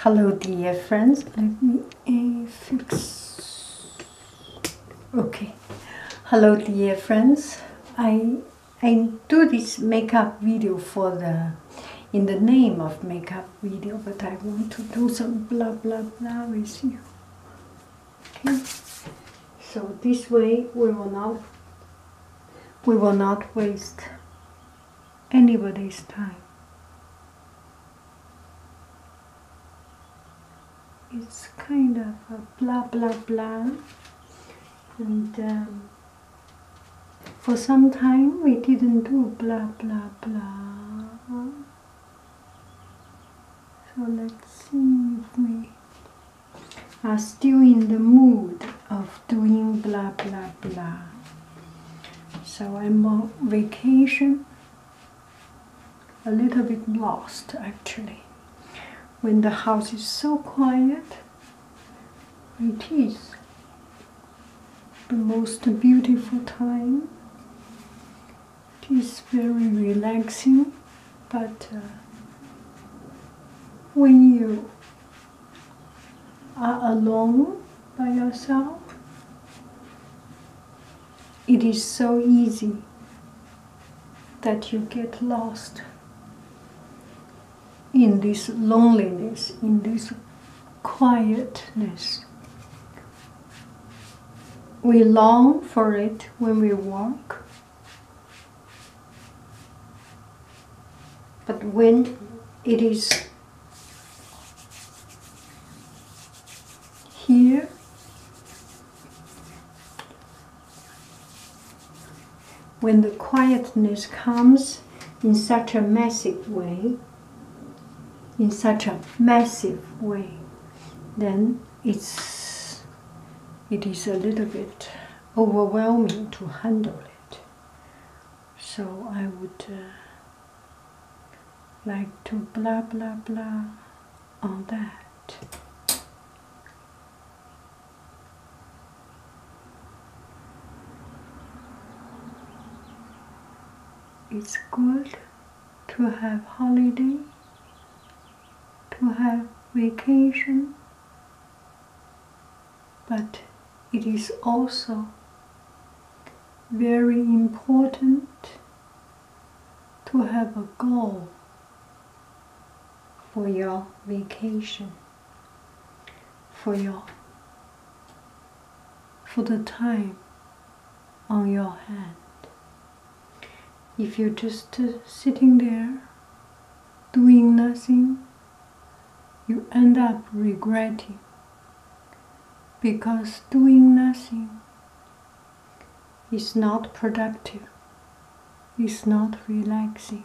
Hello dear friends, let me eh, fix, okay. Hello dear friends, I, I do this makeup video for the, in the name of makeup video, but I want to do some blah blah blah with you, okay. So this way we will not, we will not waste anybody's time. It's kind of a blah blah blah, and um, for some time we didn't do blah blah blah. So let's see if we are still in the mood of doing blah blah blah. So I'm on vacation, a little bit lost actually. When the house is so quiet, it is the most beautiful time. It is very relaxing, but uh, when you are alone by yourself, it is so easy that you get lost in this loneliness, in this quietness. We long for it when we walk. But when it is here, when the quietness comes in such a massive way, in such a massive way, then it's it is a little bit overwhelming to handle it so I would uh, like to blah blah blah on that. It's good to have holiday, to have vacation, but it is also very important to have a goal for your vacation, for your for the time on your hand. If you're just uh, sitting there doing nothing, you end up regretting because doing nothing is not productive, is not relaxing,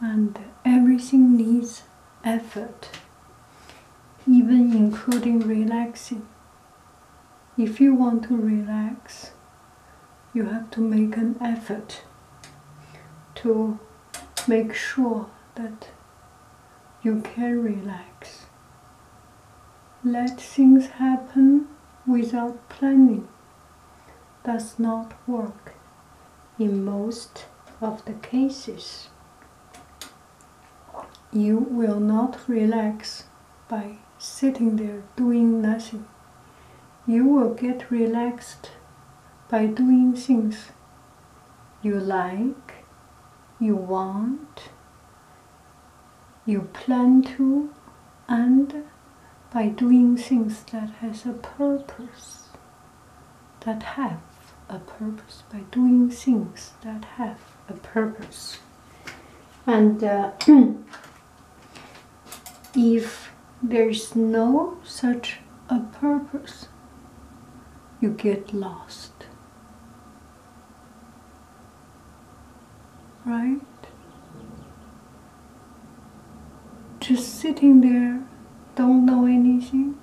and everything needs effort, even including relaxing. If you want to relax, you have to make an effort to make sure that you can relax. Let things happen without planning does not work in most of the cases. You will not relax by sitting there doing nothing you will get relaxed by doing things you like, you want, you plan to, and by doing things that has a purpose, that have a purpose, by doing things that have a purpose. And uh, if there's no such a purpose, you get lost. Right? Just sitting there, don't know anything,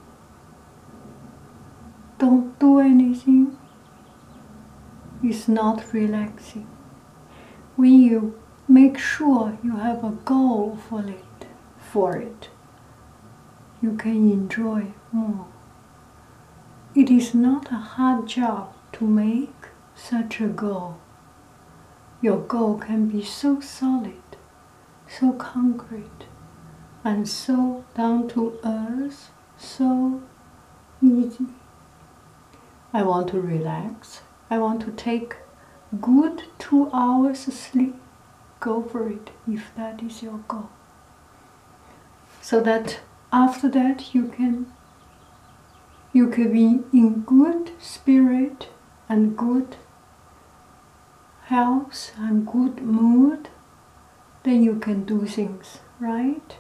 don't do anything, It's not relaxing. We you make sure you have a goal for it for it you can enjoy more it is not a hard job to make such a goal your goal can be so solid so concrete and so down to earth so easy i want to relax I want to take good two hours of sleep. Go for it if that is your goal. So that after that you can you can be in good spirit and good health and good mood, then you can do things, right?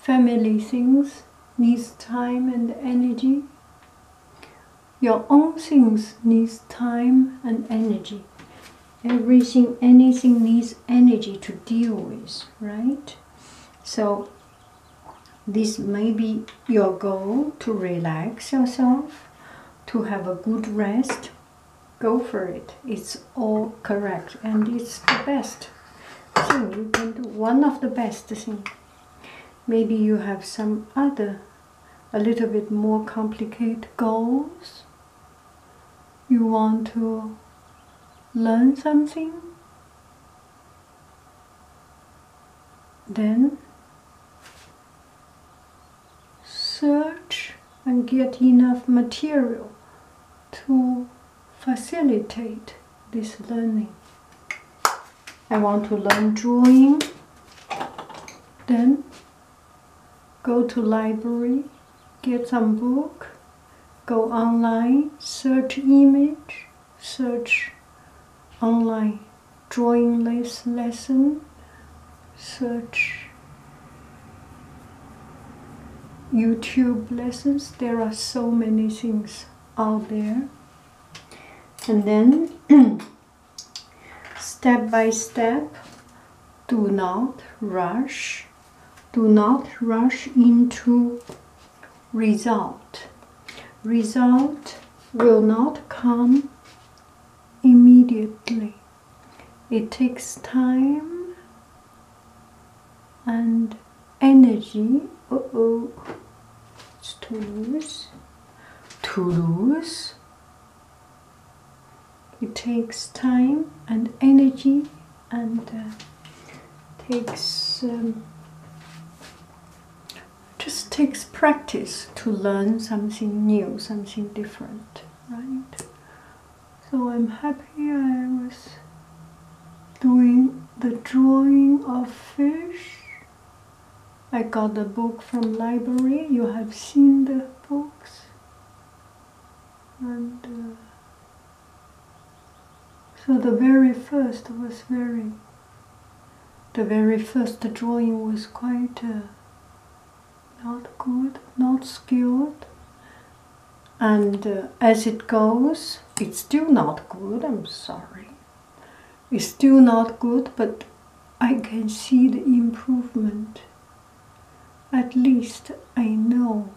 Family things needs time and energy. Your own things needs time and energy. Everything, anything needs energy to deal with, right? So this may be your goal to relax yourself, to have a good rest. Go for it. It's all correct and it's the best thing you can do. One of the best things maybe you have some other a little bit more complicated goals you want to learn something then search and get enough material to facilitate this learning I want to learn drawing, then go to library, get some book, go online, search image, search online drawing less lesson, search YouTube lessons. There are so many things out there and then step by step do not rush do not rush into result result will not come immediately it takes time and energy. Uh oh, it's Toulouse. Toulouse. It takes time and energy and uh, takes um, just takes practice to learn something new, something different, right? So I'm happy I was doing the drawing of fish I got the book from library. You have seen the books. And uh, so the very first was very, the very first drawing was quite uh, not good, not skilled. And uh, as it goes, it's still not good, I'm sorry. It's still not good, but I can see the improvement. At least I know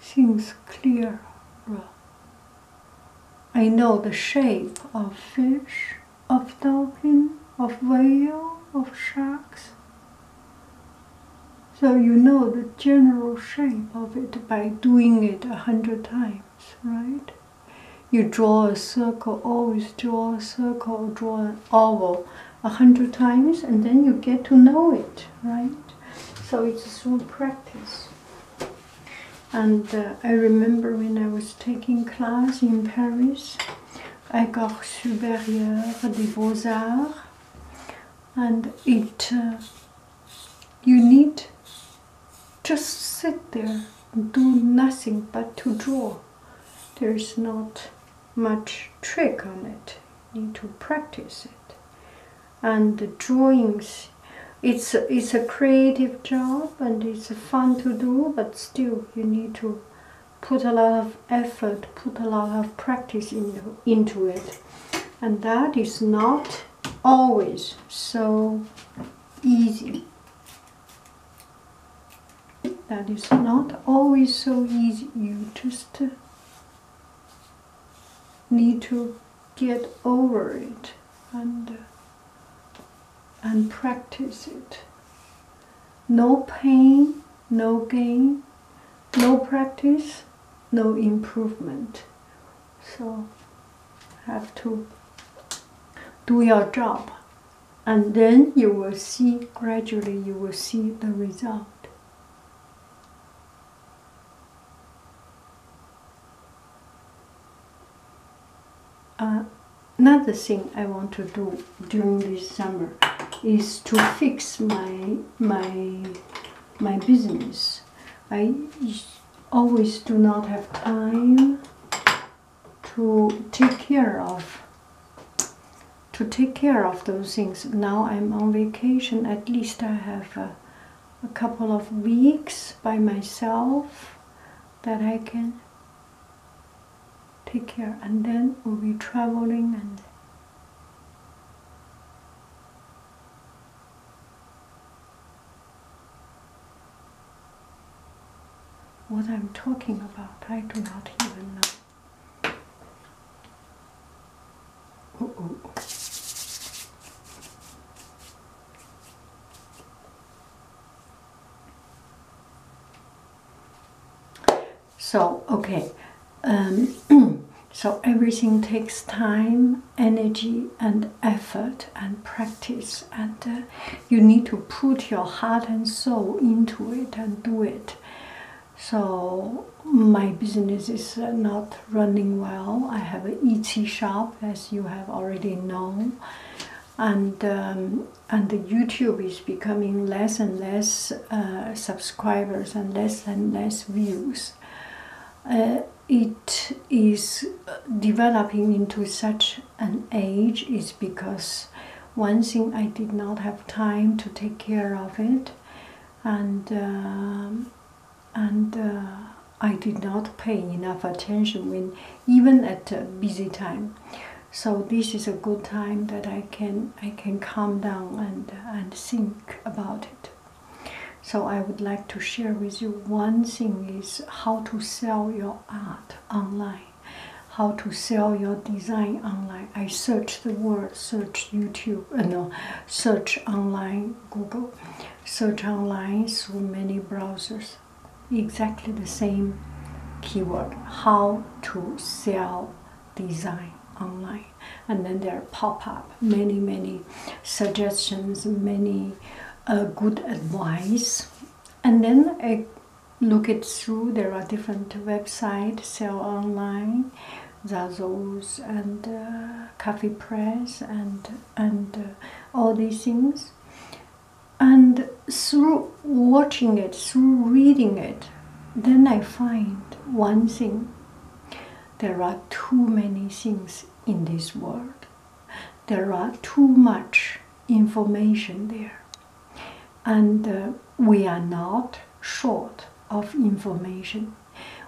things clearer. I know the shape of fish, of dolphin, of whale, of sharks. So you know the general shape of it by doing it a hundred times right? You draw a circle, always draw a circle, draw an oval a hundred times, and then you get to know it, right? So it's a through practice. And uh, I remember when I was taking class in Paris, École supérieure des beaux-arts, and it uh, you need just sit there and do nothing but to draw. There's not much trick on it. You need to practice it. And the drawings, it's a, it's a creative job and it's fun to do, but still you need to put a lot of effort, put a lot of practice into, into it. And that is not always so easy. That is not always so easy. You just need to get over it and and practice it. No pain, no gain, no practice, no improvement so have to do your job and then you will see gradually you will see the result uh, another thing i want to do during this summer is to fix my my my business i always do not have time to take care of to take care of those things. Now I'm on vacation, at least I have a, couple of weeks by myself that I can take care and then we'll be traveling and what I'm talking about, I do not even know. So, okay. Um, So everything takes time, energy, and effort, and practice, and uh, you need to put your heart and soul into it and do it. So my business is uh, not running well. I have an Etsy shop, as you have already known, and um, and YouTube is becoming less and less uh, subscribers and less and less views. Uh, it is developing into such an age is because one thing I did not have time to take care of it, and um, and uh, I did not pay enough attention when even at a busy time. So this is a good time that I can I can calm down and and think about it. So I would like to share with you one thing is how to sell your art online, how to sell your design online. I search the word, search YouTube, uh, no, search online Google, search online so many browsers. Exactly the same keyword, how to sell design online and then there are pop up many many suggestions many uh, good advice and then i look it through there are different websites sell online Zazzles and uh, press and and uh, all these things and through watching it through reading it then i find one thing there are too many things in this world. There are too much information there, and uh, we are not short of information.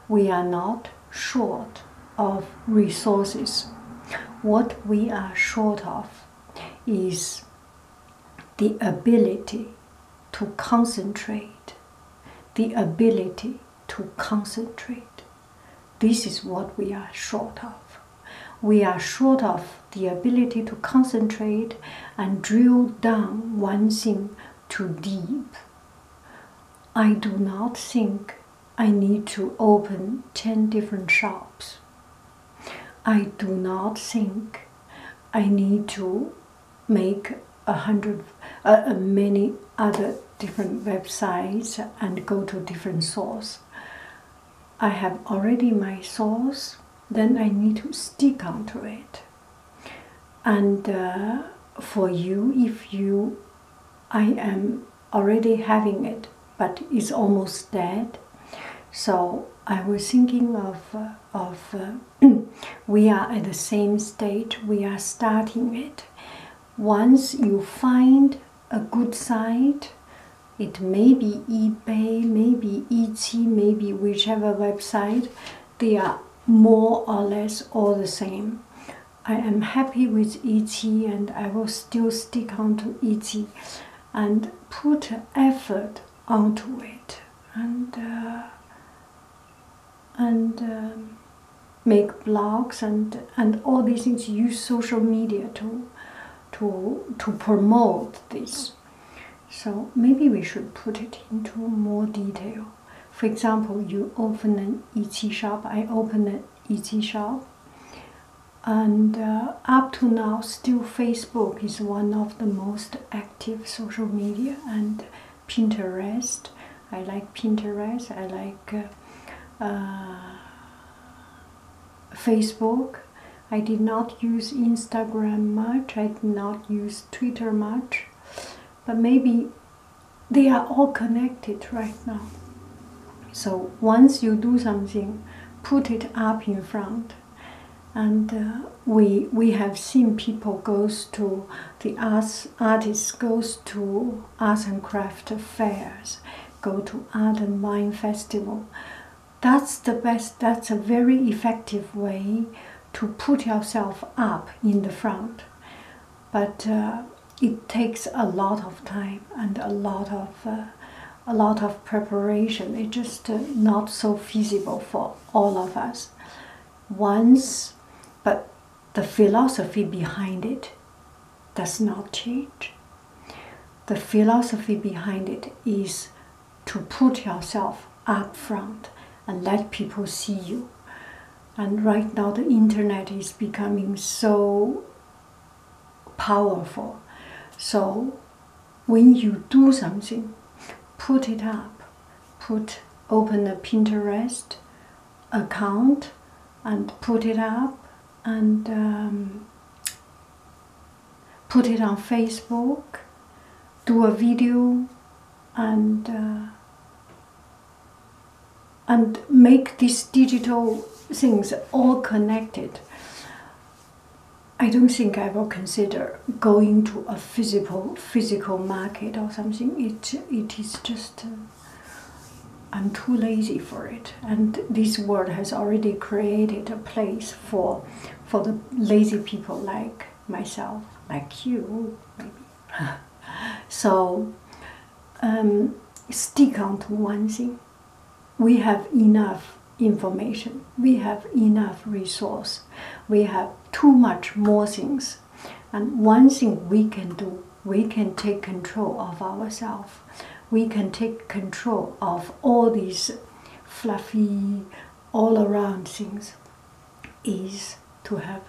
We are not short of resources. What we are short of is the ability to concentrate, the ability to concentrate. This is what we are short of. We are short of the ability to concentrate and drill down one thing too deep. I do not think I need to open 10 different shops. I do not think I need to make a hundred, uh, uh, many other different websites and go to different source. I have already my source, then I need to stick onto it. And uh, for you, if you, I am already having it, but it's almost dead. So I was thinking of, uh, of we are at the same state. we are starting it once you find a good site, it may be eBay, maybe Etsy, maybe whichever website, they are more or less all the same. I am happy with Etsy and I will still stick on to Etsy and put effort onto it. And uh, and um, make blogs and and all these things use social media to to to promote this so maybe we should put it into more detail for example you open an et shop i open an et shop and uh, up to now still facebook is one of the most active social media and Pinterest. I like Pinterest. I like uh, uh, Facebook. I did not use Instagram much. I did not use Twitter much. But maybe they are all connected right now. So once you do something, put it up in front. And uh, we, we have seen people goes to the US artists goes to arts and craft fairs, go to art and wine festival. That's the best. That's a very effective way to put yourself up in the front. But uh, it takes a lot of time and a lot of uh, a lot of preparation. It's just uh, not so feasible for all of us. Once, but the philosophy behind it does not change. The philosophy behind it is to put yourself up front and let people see you. And right now, the internet is becoming so powerful. So, when you do something, put it up put open a Pinterest account and put it up and um, put it on Facebook, do a video, and uh, and make these digital things all connected. I don't think I will consider going to a physical physical market or something. It it is just. Uh, I'm too lazy for it, and this world has already created a place for, for the lazy people like myself, like you, maybe. so, um, stick on to one thing. We have enough information. We have enough resource. We have too much more things and one thing we can do, we can take control of ourselves. We can take control of all these fluffy, all around things, is to have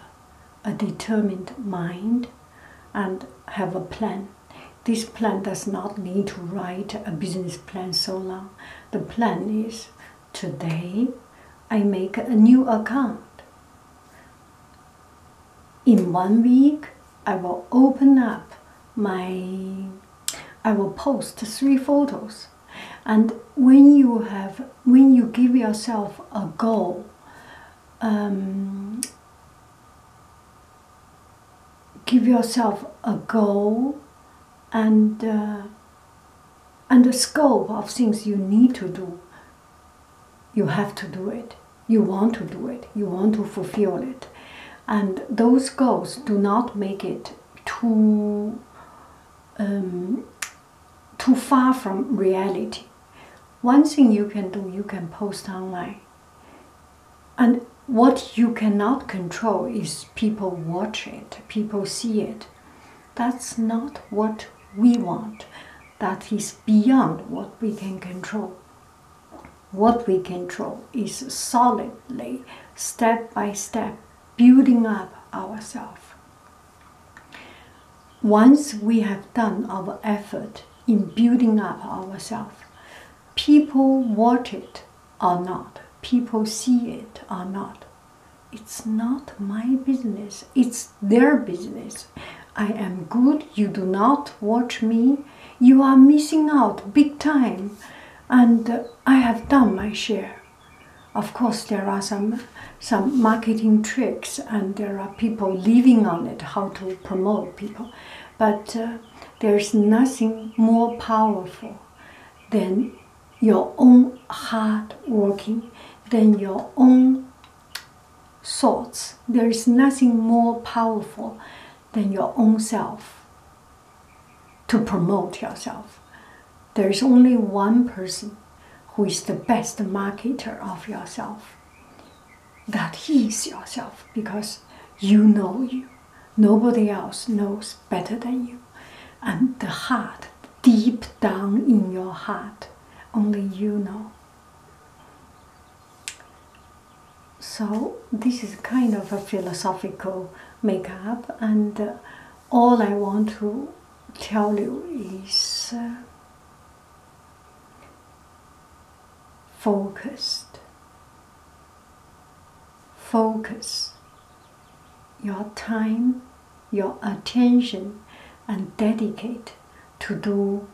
a determined mind and have a plan. This plan does not need to write a business plan so long. The plan is Today I make a new account. In one week, I will open up my I will post three photos. And when you have when you give yourself a goal, um, give yourself a goal and uh, and the scope of things you need to do, you have to do it. You want to do it. You want to fulfill it. And those goals do not make it too um, too far from reality. One thing you can do, you can post online. And what you cannot control is people watch it, people see it. That's not what we want. That is beyond what we can control. What we control is solidly, step by step, building up ourselves. Once we have done our effort in building up ourselves, people watch it or not, people see it or not, it's not my business, it's their business. I am good, you do not watch me, you are missing out big time, and uh, I have done my share. Of course, there are some, some marketing tricks, and there are people living on it, how to promote people, but uh, there's nothing more powerful than your own hard working than your own thoughts. There is nothing more powerful than your own self to promote yourself. There is only one person who is the best marketer of yourself. That is yourself because you know you. Nobody else knows better than you and the heart deep down in your heart only you know so this is kind of a philosophical makeup and all i want to tell you is uh, focused focus your time, your attention, and dedicate to do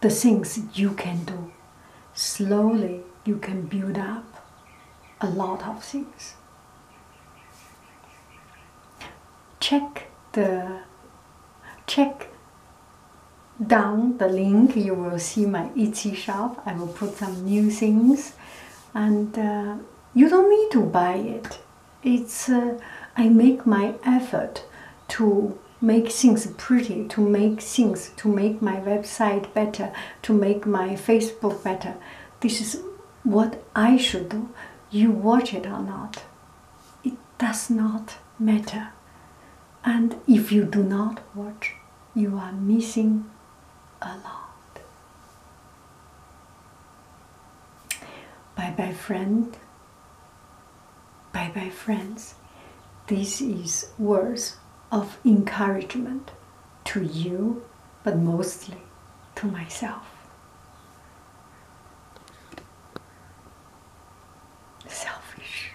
the things you can do. Slowly, you can build up a lot of things. Check the check down the link. You will see my Etsy shop. I will put some new things and uh, you don't need to buy it it's uh, i make my effort to make things pretty to make things to make my website better to make my facebook better this is what i should do you watch it or not it does not matter and if you do not watch you are missing a lot. Bye bye, friend. Bye bye, friends. This is words of encouragement to you, but mostly to myself. Selfish.